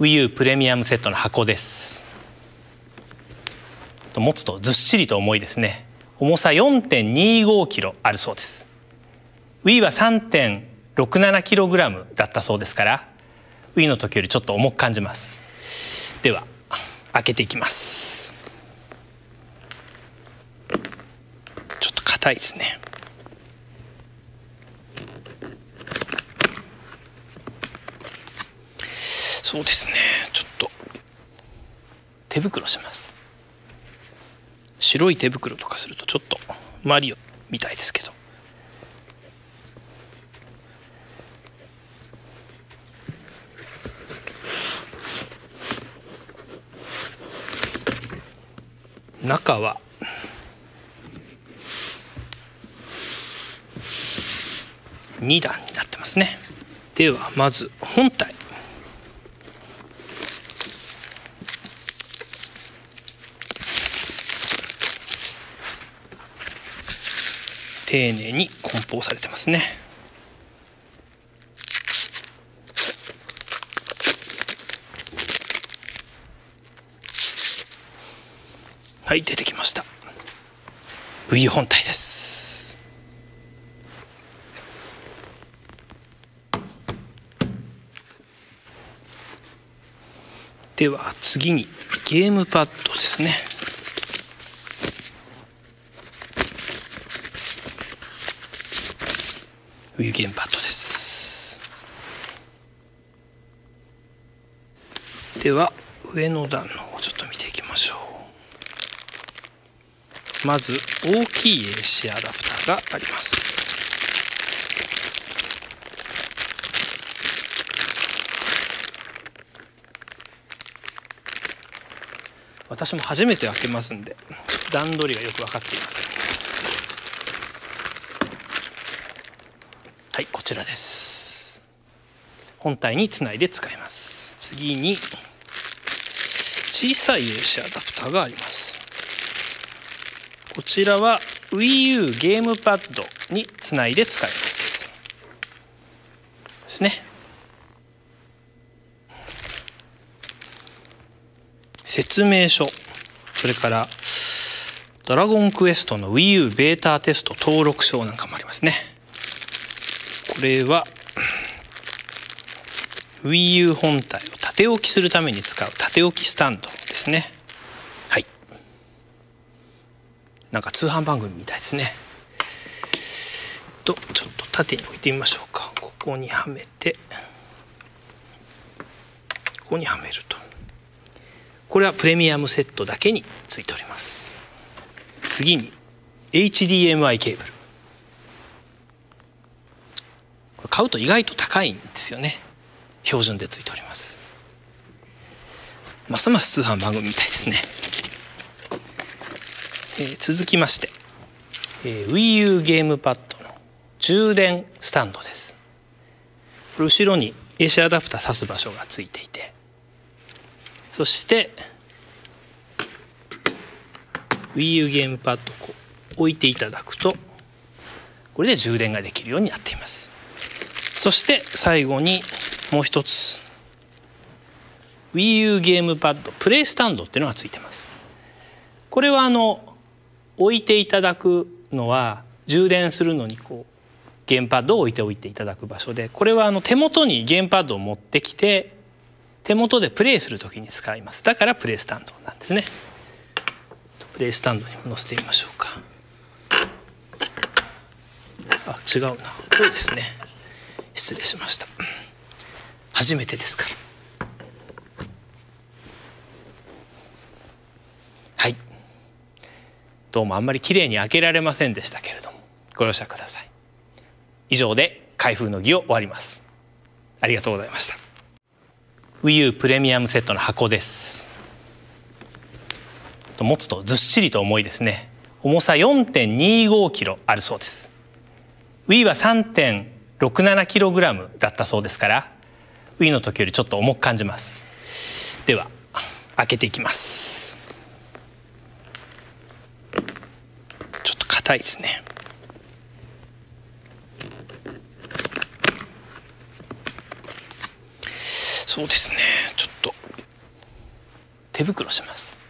w i i プレミアムセットの箱です持つとずっしりと重いですね重さ 4.25kg あるそうです Wii は 3.67kg だったそうですから Wii の時よりちょっと重く感じますでは開けていきますちょっと硬いですねそうですねちょっと手袋します白い手袋とかするとちょっとマリオみたいですけど中は2段になってますねではまず本体丁寧に梱包されてますねはい出てきました冬本体ですでは次にゲームパッドですね冬ゲパッドですでは上の段の方ちょっと見ていきましょうまず大きい AC アダプターがあります私も初めて開けますんで段取りがよく分かっていませんはいこちらです本体につないで使います次に小さい AC アダプターがありますこちらは WiiU ゲームパッドにつないで使いますですね説明書それから「ドラゴンクエスト」の WiiU ベータテスト登録証なんかもありますねこれは WiiU 本体を縦置きするために使う縦置きスタンドですねはいなんか通販番組みたいですねとちょっと縦に置いてみましょうかここにはめてここにはめるとこれはプレミアムセットだけについております次に HDMI ケーブル買うと意外と高いんですよね標準でついておりますますます通販番組みたいですねえ続きまして、え WiiU ゲームパッドの充電スタンドです後ろに AC アダプター挿す場所がついていてそして WiiU ゲームパッドを置いていただくとこれで充電ができるようになっていますそして最後にもう一つ WiiU ゲームパッドプレイスタンドっていうのがついてますこれはあの置いていただくのは充電するのにこうゲームパッドを置いておいていただく場所でこれはあの手元にゲームパッドを持ってきて手元でプレイする時に使いますだからプレイスタンドなんですねプレイスタンドにも載せてみましょうかあ違うなこうですね失礼しました初めてですからはいどうもあんまり綺麗に開けられませんでしたけれどもご容赦ください以上で開封の儀を終わりますありがとうございました WiiU プレミアムセットの箱です持つとずっしりと重いですね重さ4.25キロあるそうです Wii は3.67キログラムだったそうですからウィーの時よりちょっと重く感じますでは開けていきますちょっと硬いですねそうですねちょっと手袋します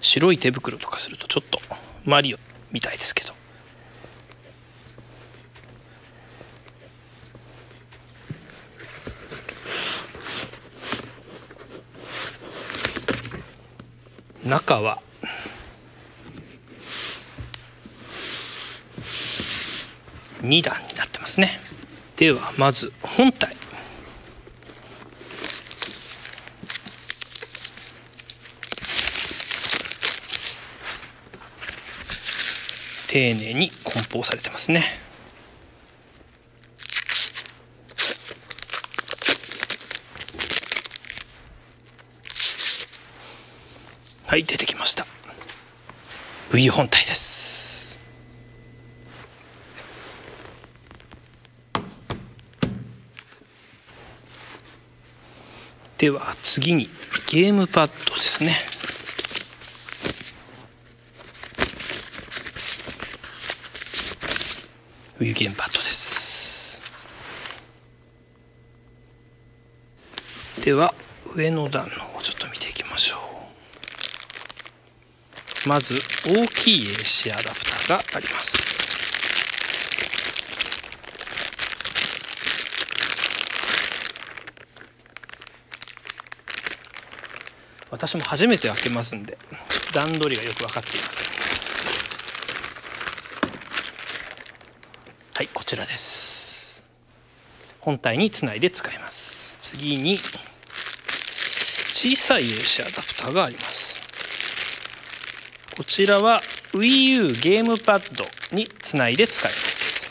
白い手袋とかするとちょっとマリオみたいですけど中は2段になってますねではまず本体丁寧に梱包されてますねはい出てきました V 本体ですでは次にゲームパッドですね有限パッドですでは上の段の方をちょっと見ていきましょうまず大きい AC アダプターがあります私も初めて開けますんで段取りがよく分かっていませんはいこちらです本体につないで使います次に小さい AC アダプターがありますこちらは WiiU ゲームパッドにつないで使います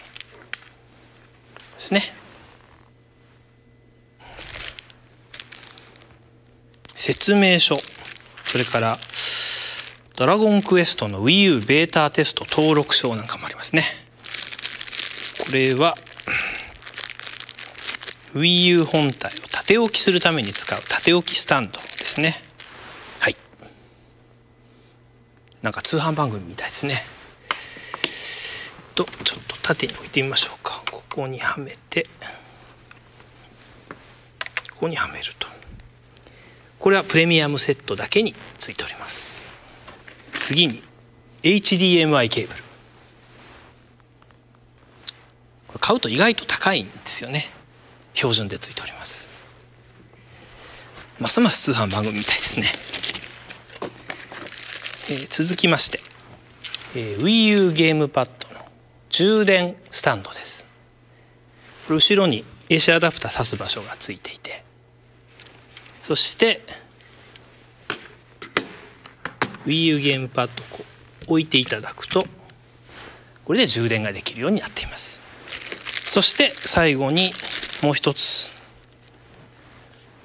ですね説明書それからドラゴンクエストの WiiU ベータテスト登録証なんかもありますねこれは WiiU 本体を縦置きするために使う縦置きスタンドですねはいなんか通販番組みたいですねとちょっと縦に置いてみましょうかここにはめてここにはめるとこれはプレミアムセットだけについております次に HDMI ケーブルこれ買うと意外と高いんですよね標準でついておりますますます通販番組みたいですね、え続きまして、え WiiU ゲームパッドの充電スタンドですこれ後ろに AC アダプター挿す場所がついていてそして Wii U ゲームパッドを置いていただくとこれで充電ができるようになっていますそして最後にもう一つ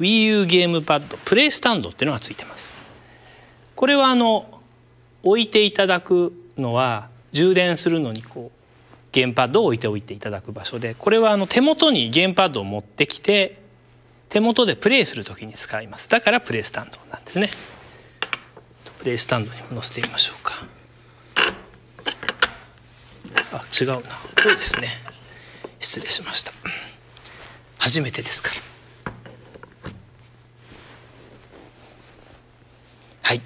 Wii U ゲームパッドプレイスタンドっていうのがついてますこれはあの置いていただくのは充電するのにこうゲームパッドを置いておいていただく場所でこれはあの手元にゲームパッドを持ってきて手元でプレイする時に使いますだからプレイスタンドなんですねプレイスタンドにも載せてみましょうかあ違うなこうですね失礼しました初めてですからはい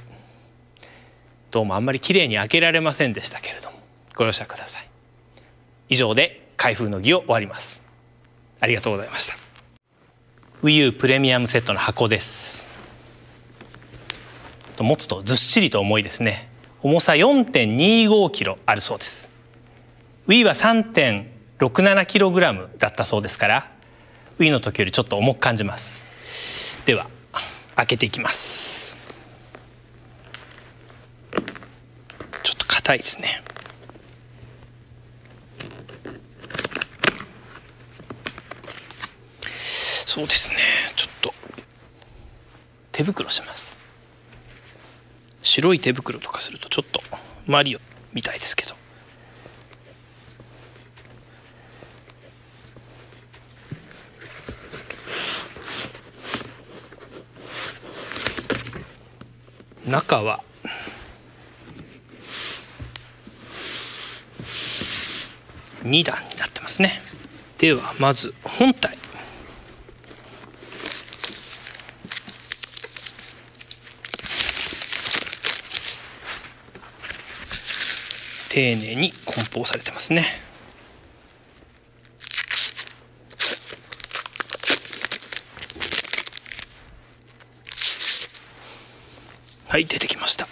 どうもあんまり綺麗に開けられませんでしたけれどもご容赦ください以上で開封の儀を終わりますありがとうございました WiiU プレミアムセットの箱です持つとずっしりと重いですね重さ 4.25kg あるそうです Wii は 3.67kg だったそうですから Wii の時よりちょっと重く感じますでは開けていきますちょっと硬いですねそうですねちょっと手袋します白い手袋とかするとちょっとマリオみたいですけど中は2段になってますねではまず本体丁寧に梱包されてますねはい出てきました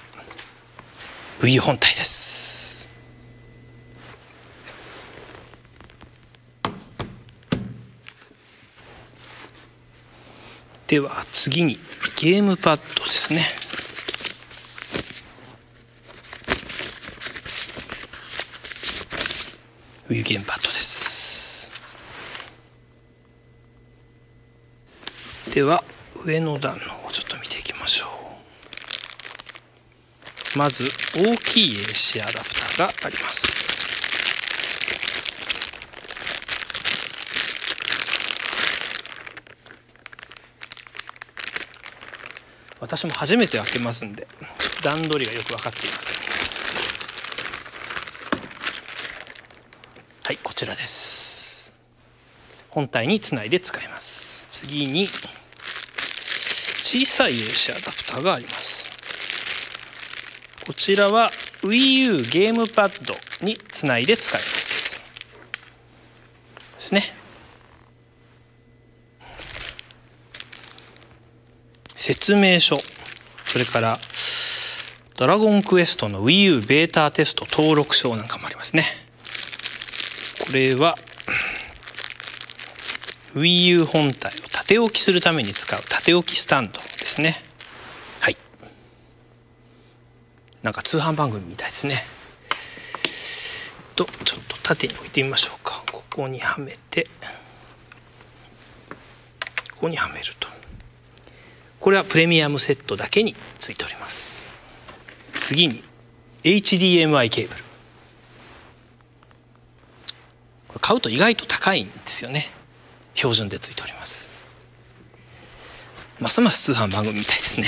ウィ本体ですでは次にゲームパッドですねウィーケンパッドですでは上の段の方ちょっと見ていきましょうまず大きい AC アダプターがあります私も初めて開けますんで段取りがよく分かっていますはいこちらです本体につないで使います次に小さい AC アダプターがありますこちらは WiiU ゲームパッドにつないで使いますですね説明書それから「ドラゴンクエスト」の WiiU ベータテスト登録書なんかもありますねこれは WiiU 本体を縦置きするために使う縦置きスタンドですねはいなんか通販番組みたいですねとちょっと縦に置いてみましょうかここにはめれここにはめるとこれはプレミアムセットだけについております次に HDMI ケーブル買うと意外と高いんですよね標準でついておりますますます通販番組みたいですね、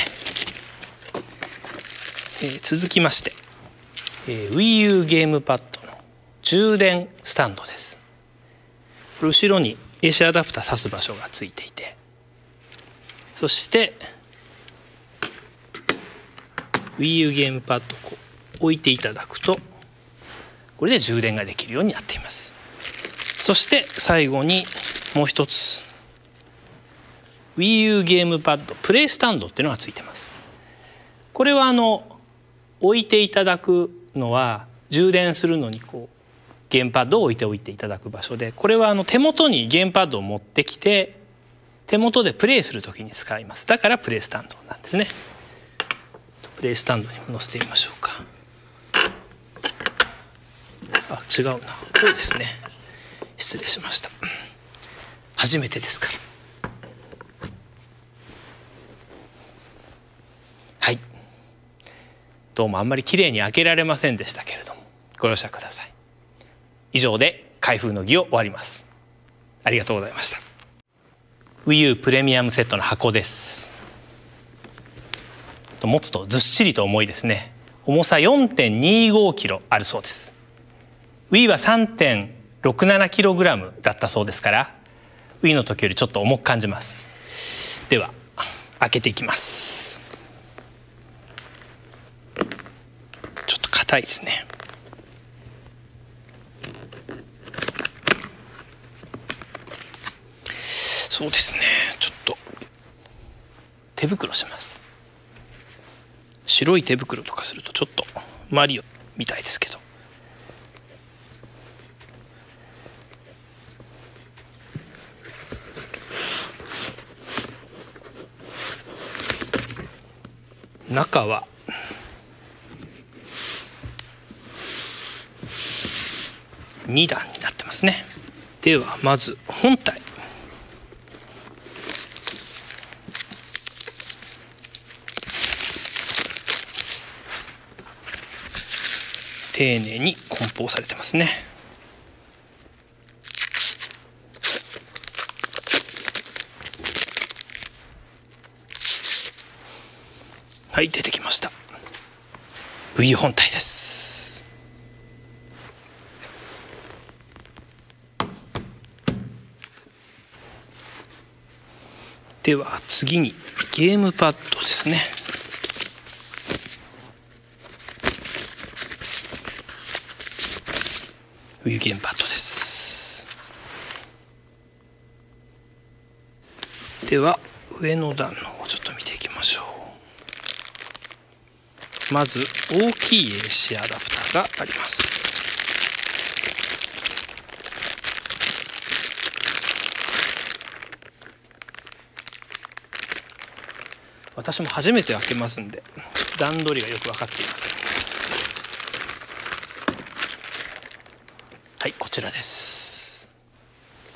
えー、続きまして、えー、WiiU ゲームパッドの充電スタンドです後ろに AC アダプター挿す場所がついていてそして WiiU ゲームパッドを置いていただくとこれで充電ができるようになっていますそして最後にもう一つ WiiU ゲームパッドプレイスタンドっていうのがついてますこれはあの置いていただくのは充電するのにこうゲームパッドを置いておいていただく場所でこれはあの手元にゲームパッドを持ってきて手元でプレイする時に使いますだからプレイスタンドなんですねプレイスタンドにも載せてみましょうかあ違うなこうですね失礼しました初めてですからはいどうもあんまりきれいに開けられませんでしたけれどもご容赦ください以上で開封の儀を終わりますありがとうございました WiiU プレミアムセットの箱です持つとずっしりと重いですね重さ 4.25kg あるそうです Wii は 3.67kg だったそうですからウィの時よりちょっと重く感じますでは開けていきますちょっと硬いですねそうですねちょっと手袋します白い手袋とかするとちょっとマリオみたいですけど中は2段になってますねではまず本体丁寧に梱包されてますねはい出てきましたウィー本体ですでは次にゲームパッドですねウィゲームパッドですでは上の段の方をちょっと見ていきましょうまず大きい AC アダプターがあります私も初めて開けますんで段取りがよく分かっていませんはいこちらです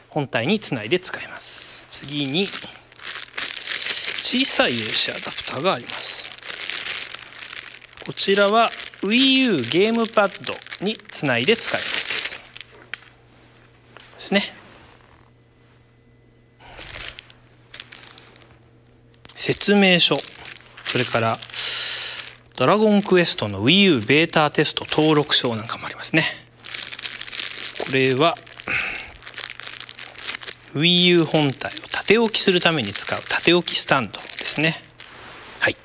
本体につないで使います次に小さい AC アダプターがありますこちらは WiiU ゲームパッドにつないで使いますですね説明書それから「ドラゴンクエスト」の WiiU ベータテスト登録証なんかもありますねこれは WiiU 本体を縦置きするために使う縦置きスタンドですねはい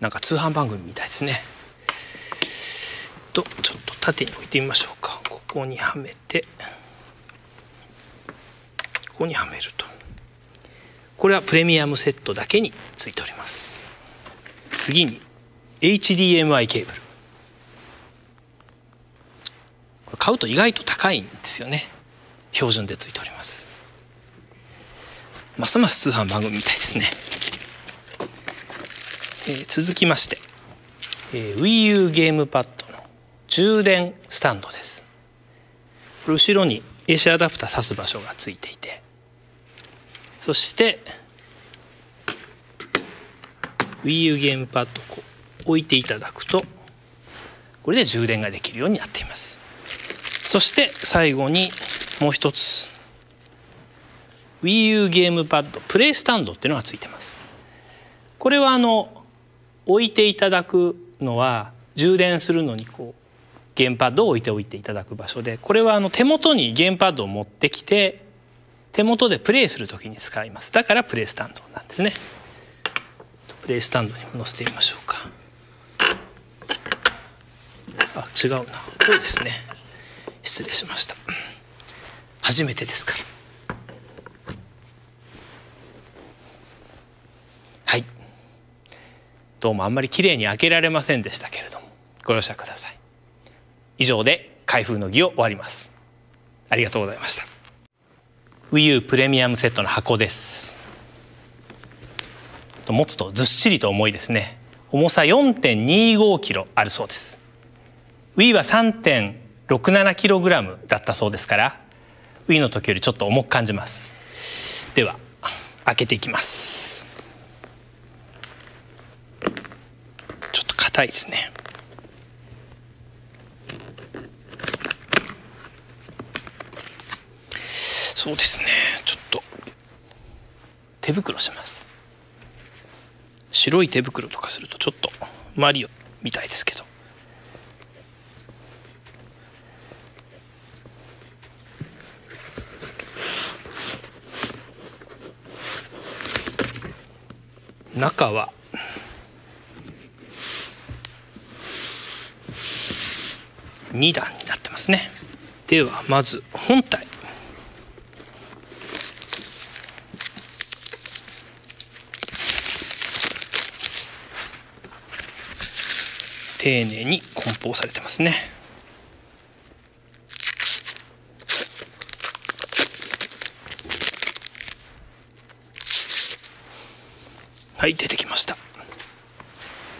なんか通販番組みたいですねとちょっと縦に置いてみましょうかここにはめてここにはめるとこれはプレミアムセットだけについております次に HDMI ケーブルこれ買うと意外と高いんですよね標準でついておりますますます通販番組みたいですね、えー、続きまして、えー、WiiU ゲームパッドの充電スタンドです後ろに AC アダプター挿す場所がついていてそして WiiU ゲームパッドこう、置いていただくとこれで充電ができるようになっていますそして最後にもう一つ WiiU ゲームパッドプレイスタンドっていうのがついてますこれはあの置いていただくのは充電するのにこうゲームパッドを置いておいていただく場所でこれはあの手元にゲームパッドを持ってきて手元でプレイする時に使いますだからプレイスタンドなんですねプレイスタンドにも載せてみましょうかあ違うなこうですね失礼しました初めてですからはいどうもあんまり綺麗に開けられませんでしたけれどもご容赦ください以上で開封の儀を終わりますありがとうございました w i i プレミアムセットの箱です持つとずっしりと重いですね重さ 4.25kg あるそうです Wii は 3.67kg だったそうですから w i の時よりちょっと重く感じますでは開けていきますちょっと硬いですねそうですねちょっと手袋します白い手袋とかするとちょっとマリオみたいですけど中は2段になってますねではまず本体丁寧に梱包されてますねはい出てきました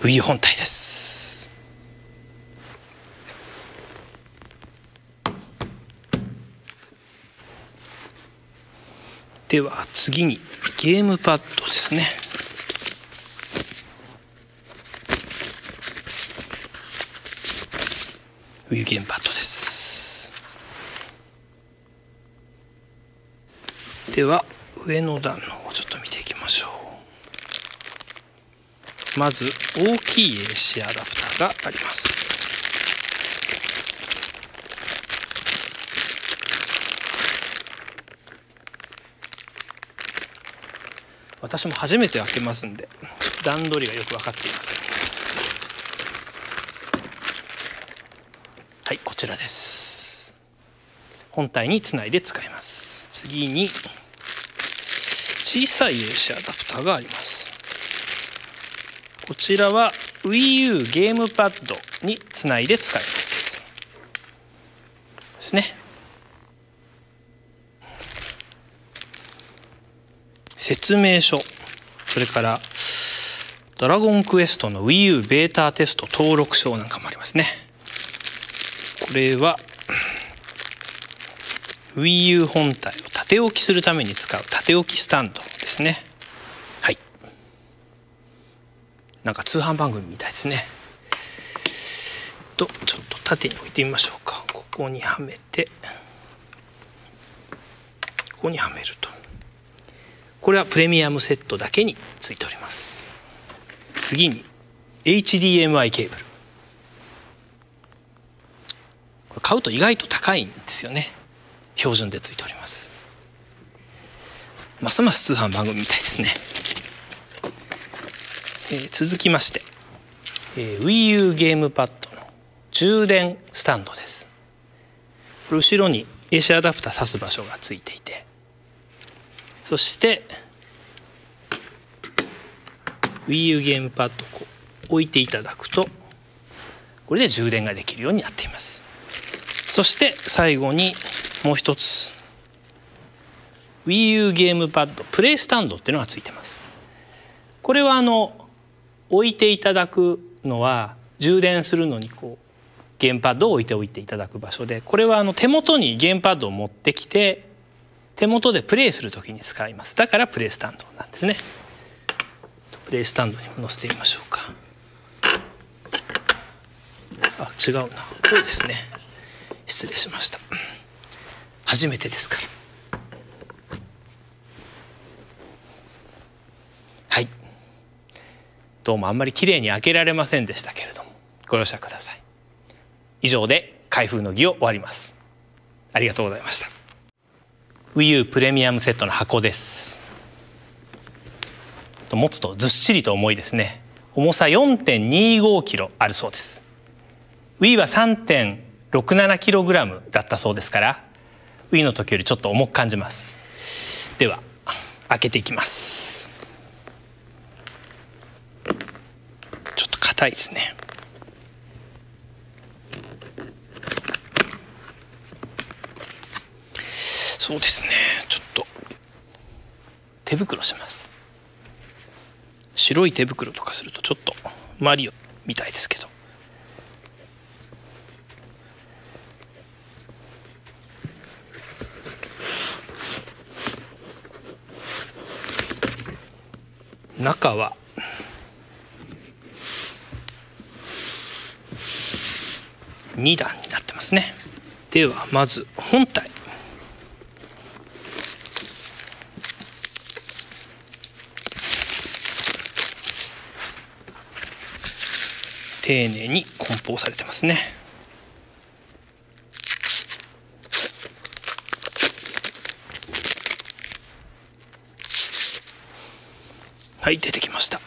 冬本体ですでは次にゲームパッドですね冬ゲームパッドですでは上の段の方ちょっと見ていきましょうまず大きい AC アダプターがあります私も初めて開けますんで段取りがよく分かっていません、はいこちらです本体につないで使います次に小さい AC アダプターがありますこちらは WiiU ゲームパッドにつないで使いますですね説明書それからドラゴンクエストの WiiU ベータテスト登録証なんかもありますねこれは WiiU 本体を縦置きするために使う縦置きスタンドですねはいなんか通販番組みたいですねとちょっと縦に置いてみましょうかここにはめてここにはめるとこれはプレミアムセットだけについております次に HDMI ケーブル買うと意外と高いんですよね標準でついておりますますます通販番組みたいですね、えー、続きまして、えー、WiiU ゲームパッドの充電スタンドですこれ後ろに AC アダプター挿す場所がついていてそして Wii U ゲームパッドを置いていただくとこれで充電ができるようになっていますそして最後にもう一つ Wii U ゲームパッドプレイスタンドっていうのがついてますこれはあの置いていただくのは充電するのにこう。ゲパッドを置いておいていただく場所でこれはあの手元にゲパッドを持ってきて手元でプレイする時に使いますだからプレイスタンドなんですねプレイスタンドにも載せてみましょうかあ違うなこうですね失礼しました初めてですからはいどうもあんまり綺麗に開けられませんでしたけれどもご容赦ください以上で開封の儀を終わりますありがとうございました WiiU プレミアムセットの箱です持つとずっしりと重いですね重さ 4.25kg あるそうです Wii は 3.67kg だったそうですから Wii の時よりちょっと重く感じますでは開けていきますちょっと硬いですねそうですねちょっと手袋します白い手袋とかするとちょっとマリオみたいですけど中は2段になってますねではまず本体丁寧に梱包されてますねはい出てきました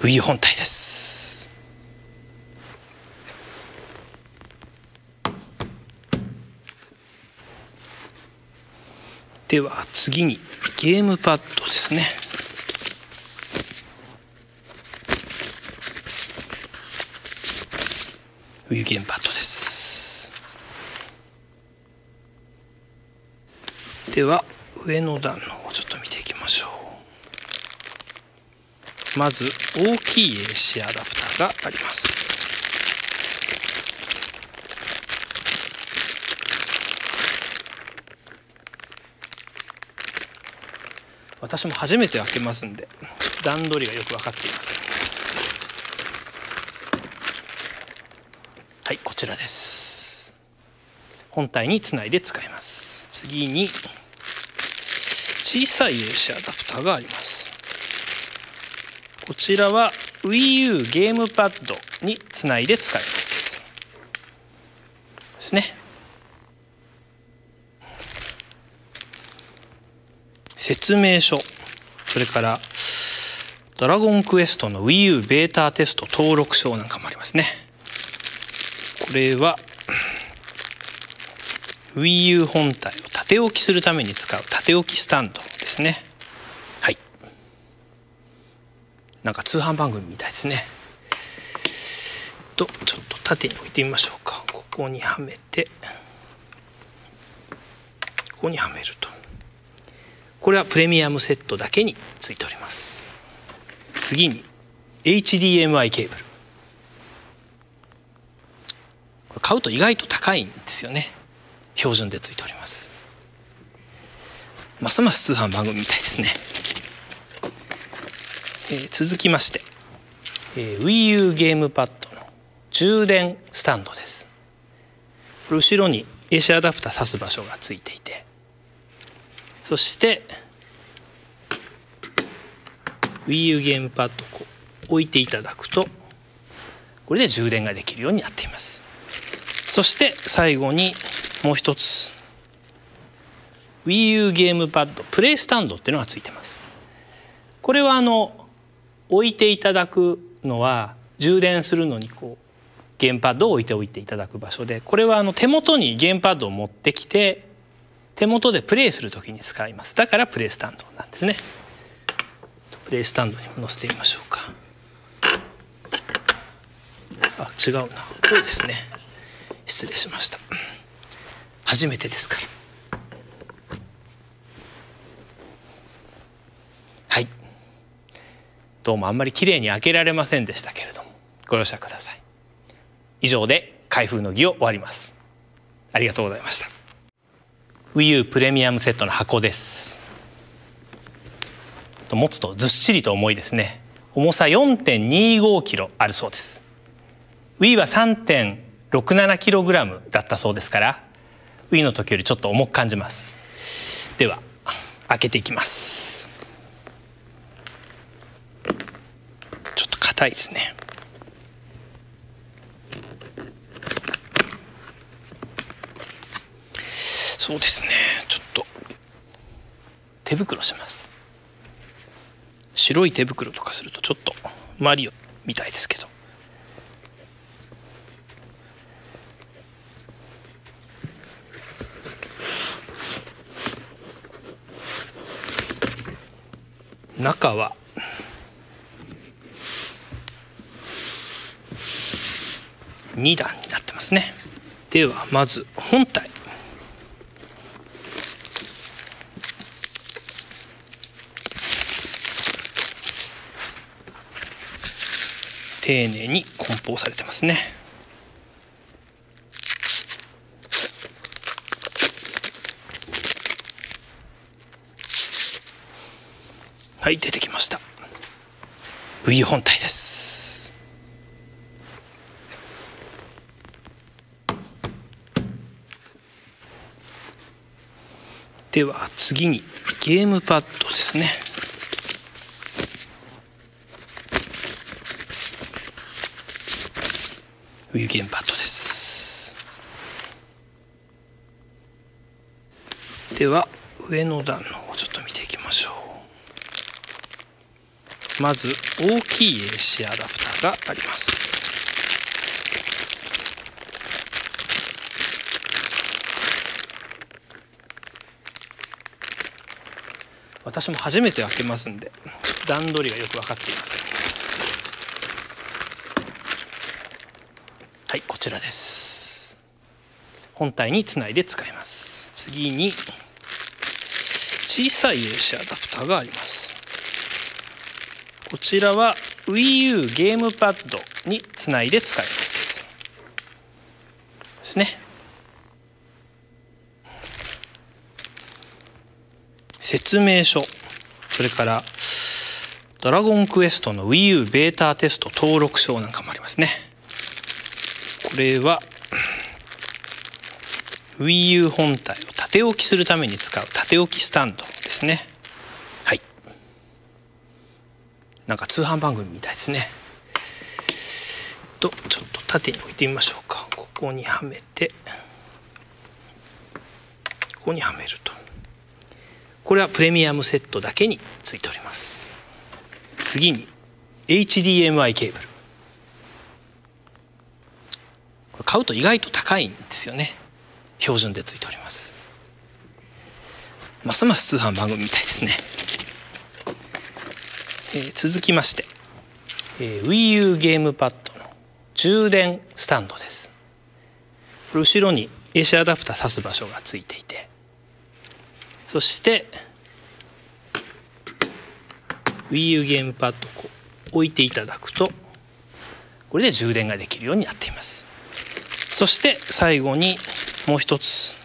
ウィ本体ですでは次にゲームパッドですね冬ゲンパッドですでは上の段のをちょっと見ていきましょうまず大きい AC アダプターがあります私も初めて開けますんで段取りがよく分かっていません。はいこちらです本体につないで使います次に小さい AC アダプターがありますこちらは WiiU ゲームパッドにつないで使いますですね説明書それから「ドラゴンクエスト」の WiiU ベータテスト登録書なんかもありますねこれは WiiU 本体を縦置きするために使う縦置きスタンドですねはいなんか通販番組みたいですねとちょっと縦に置いてみましょうかここにはめてここにはめるとこれはプレミアムセットだけについております次に HDMI ケーブルこれ買うと意外と高いんですよね標準でついておりますますます通販番組みたいですねえ続きまして、え WiiU ゲームパッドの充電スタンドです後ろに AC アダプター挿す場所がついていてそして WiiU ゲームパッドを置いていただくとこれで充電ができるようになっていますそして最後にもう一つ WiiU ゲームパッドプレイスタンドっていうのがついてますこれはあの置いていただくのは充電するのにこうゲームパッドを置いておいていただく場所でこれはあの手元にゲームパッドを持ってきて手元でプレイする時に使いますだからプレイスタンドなんですねプレイスタンドにも載せてみましょうかあ違うなこうですね失礼しました初めてですからはいどうもあんまりきれいに開けられませんでしたけれどもご容赦ください以上で開封の儀を終わりますありがとうございました WiiU プレミアムセットの箱です持つとずっしりと重いですね重さ4 2 5キロあるそうです Wii は 3.67kg だったそうですから Wii の時よりちょっと重く感じますでは開けていきますちょっと硬いですねそうですねちょっと手袋します白い手袋とかするとちょっとマリオみたいですけど中は2段になってますねではまず本体丁寧に梱包されてますねはい出てきましたウィー本体ですでは次にゲームパッドですねウィゲームパッドですでは上の段の方をちょっと見ていきましょうまず大きい AC アダプターがあります私も初めて開けますんで段取りがよく分かっていませんはいこちらです本体につないで使います次に小さい AC アダプターがありますこちらは WiiU ゲームパッドにつないで使いますですね説明書それから「ドラゴンクエスト」の WiiU ベータテスト登録証なんかもありますねこれは WiiU 本体を縦置きするために使う縦置きスタンドですねはいなんか通販番組みたいですねとちょっと縦に置いてみましょうかここにはめてここにはめるとこれはプレミアムセットだけについております次に HDMI ケーブルこれ買うと意外と高いんですよね標準でついておりますますます通販番組みたいですね、え続きまして、え WiiU ゲームパッドの充電スタンドです後ろに AC アダプター挿す場所がついていてそして WiiU ゲームパッドを置いていただくとこれで充電ができるようになっていますそして最後にもう一つ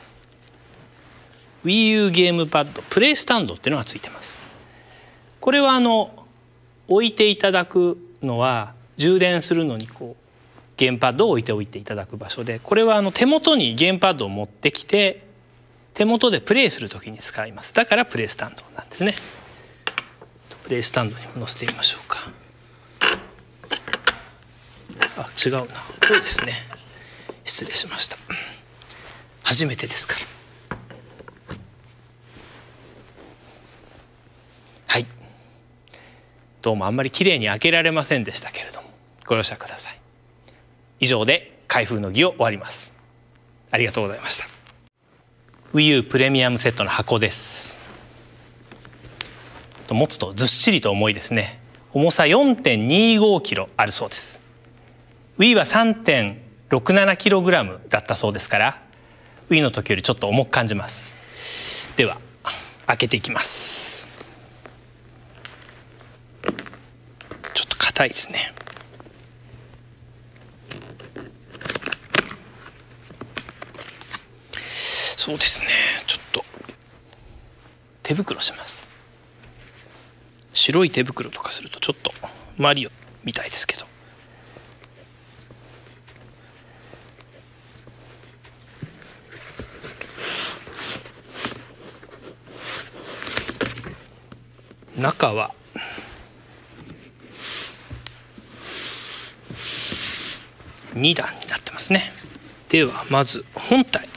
WiiU ゲームパッドプレイスタンドっていうのがついてますこれはあの置いていただくのは充電するのにこうゲームパッドを置いておいていただく場所でこれはあの手元にゲームパッドを持ってきて手元でプレイする時に使いますだからプレイスタンドなんですねプレイスタンドにも載せてみましょうかあ違うなこうですね失礼しました初めてですからはいどうもあんまり綺麗に開けられませんでしたけれどもご容赦ください以上で開封の儀を終わりますありがとうございました WiiU プレミアムセットの箱です持つとずっしりと重いですね重さ 4.25kg あるそうです Wii は 3.67kg だったそうですから w i の時よりちょっと重く感じますでは開けていきますちょっと硬いですねそうですねちょっと手袋します白い手袋とかするとちょっとマリオみたいですけど中は2段になってますねではまず本体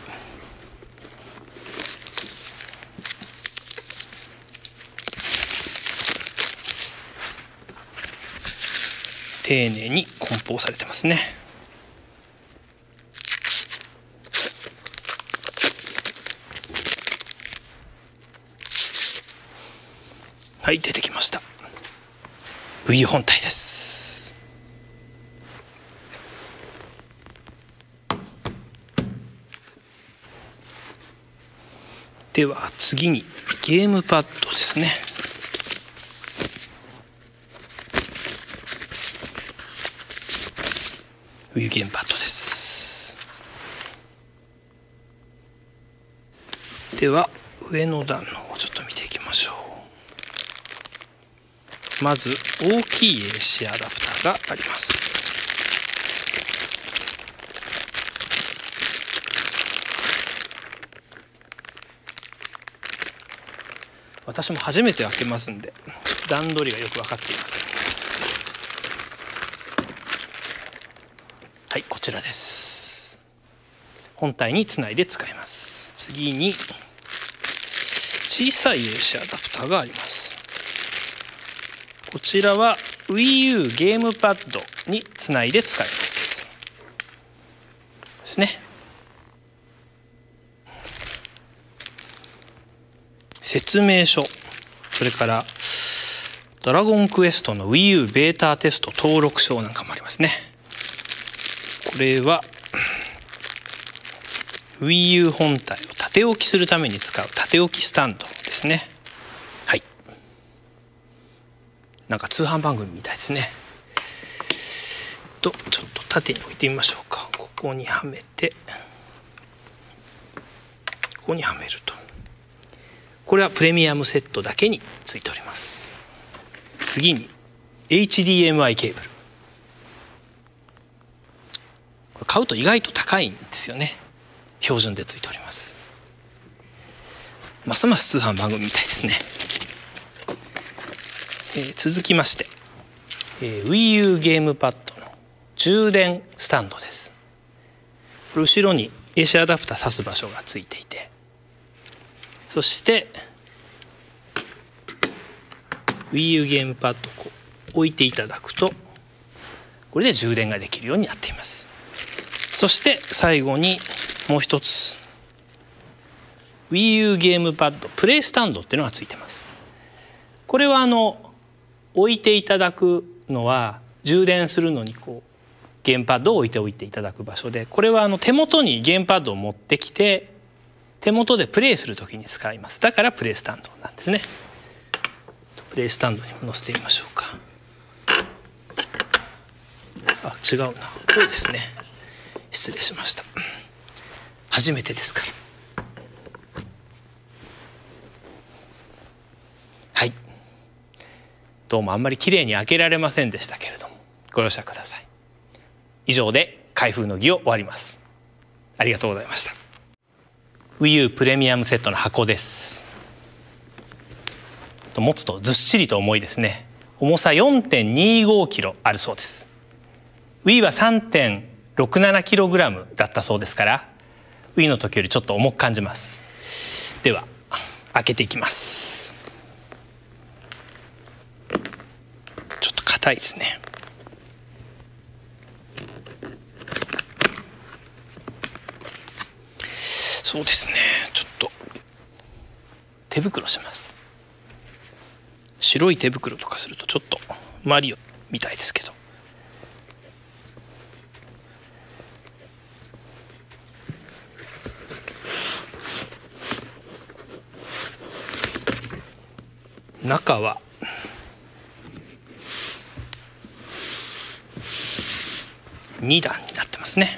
丁寧に梱包されてますねはい出てきましたウィ本体ですでは次にゲームパッドですねウィゲンパットですでは上の段の方ちょっと見ていきましょうまず大きい AC アダプターがあります私も初めて開けますんで段取りがよく分かっていますはいこちらです本体につないで使います次に小さい AC アダプターがありますこちらは WiiU ゲームパッドにつないで使いますですね説明書それから「ドラゴンクエスト」の WiiU ベータテスト登録証なんかもありますねこれは WiiU 本体を縦置きするために使う縦置きスタンドですねはいなんか通販番組みたいですねとちょっと縦に置いてみましょうかここにはめてここにはめるとこれはプレミアムセットだけについております次に HDMI ケーブル買うと意外と高いんですよね標準でついておりますますます通販番組みたいですね、えー、続きまして、えー、WiiU ゲームパッドの充電スタンドです後ろに AC アダプター挿す場所がついていてそして WiiU ゲームパッドを置いていただくとこれで充電ができるようになっていますそして最後にもう一つ WiiU ゲームパッドプレイスタンドっていうのがついてますこれはあの置いていただくのは充電するのにこうゲームパッドを置いておいていただく場所でこれはあの手元にゲームパッドを持ってきて手元でプレイする時に使いますだからプレイスタンドなんですねプレイスタンドにも載せてみましょうかあ違うなそうですね失礼しました初めてですからはいどうもあんまりきれいに開けられませんでしたけれどもご容赦ください以上で開封の儀を終わりますありがとうございました WiiU プレミアムセットの箱です持つとずっしりと重いですね重さ 4.25kg あるそうです Wii は 3.67kg だったそうですからがウィの時よりちょっと重く感じますでは開けていきますちょっと硬いですねそうですねちょっと手袋します白い手袋とかするとちょっとマリオみたいですけど中は2段になってますね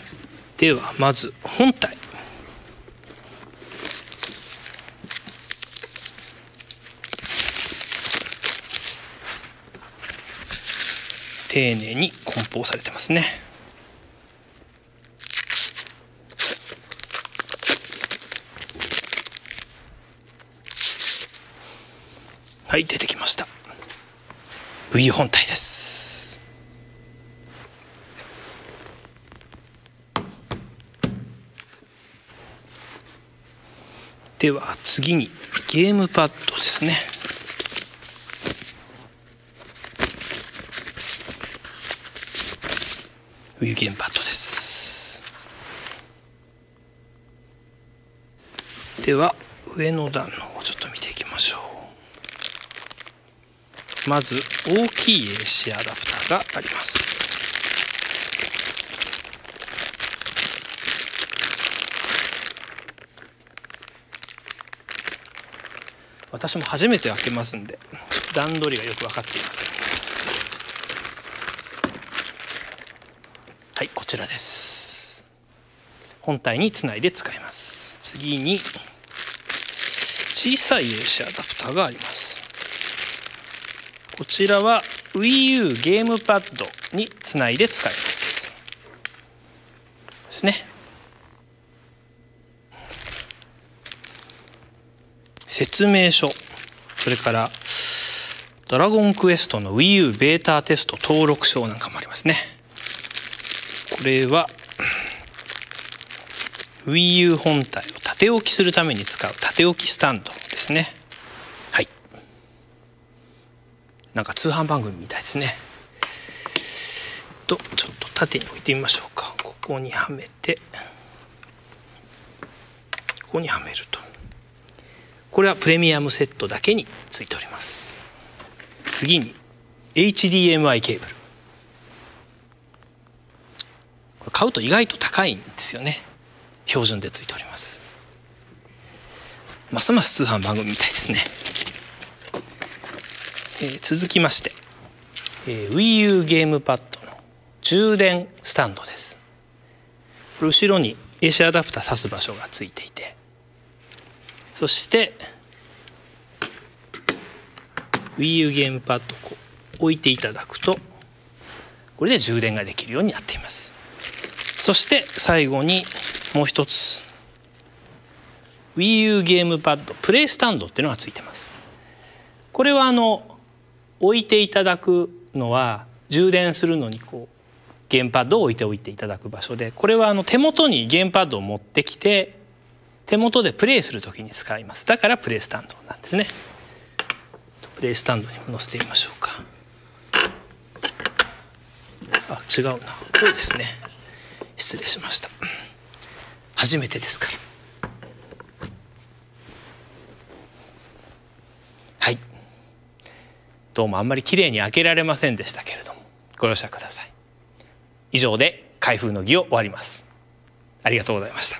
ではまず本体丁寧に梱包されてますねはい出てきましたウィー本体ですでは次にゲームパッドですねウィゲームパッドですでは上の段の方ちょっと見ていきましょうまず大きい AC アダプターがあります私も初めて開けますんで段取りがよく分かっていませんはいこちらです本体につないで使います次に小さい AC アダプターがありますこちらは WiiU ゲームパッドにつないで使いますですね説明書それから「ドラゴンクエスト」の WiiU ベータテスト登録証なんかもありますねこれは WiiU 本体を縦置きするために使う縦置きスタンドですねはいなんか通販番組みたいですねとちょっと縦に置いてみましょうかここにはめてここにはめるとこれはプレミアムセットだけについております次に HDMI ケーブル買うと意外と高いんですよね標準でついておりますますます通販番組みたいですね、えー、続きまして、えー、WiiU ゲームパッドの充電スタンドです後ろに AC アダプター挿す場所がついていてそして WiiU ゲームパッドを置いていただくとこれで充電ができるようになっていますそして最後にもう一つ WiiU ゲームパッドプレイスタンドっていうのがついてますこれはあの置いていただくのは充電するのにこうゲームパッドを置いておいていただく場所でこれはあの手元にゲームパッドを持ってきて手元でプレイする時に使いますだからプレイスタンドなんですねプレイスタンドにも載せてみましょうかあ違うなこうですね失礼しました初めてですからはいどうもあんまり綺麗に開けられませんでしたけれどもご容赦ください以上で開封の儀を終わりますありがとうございました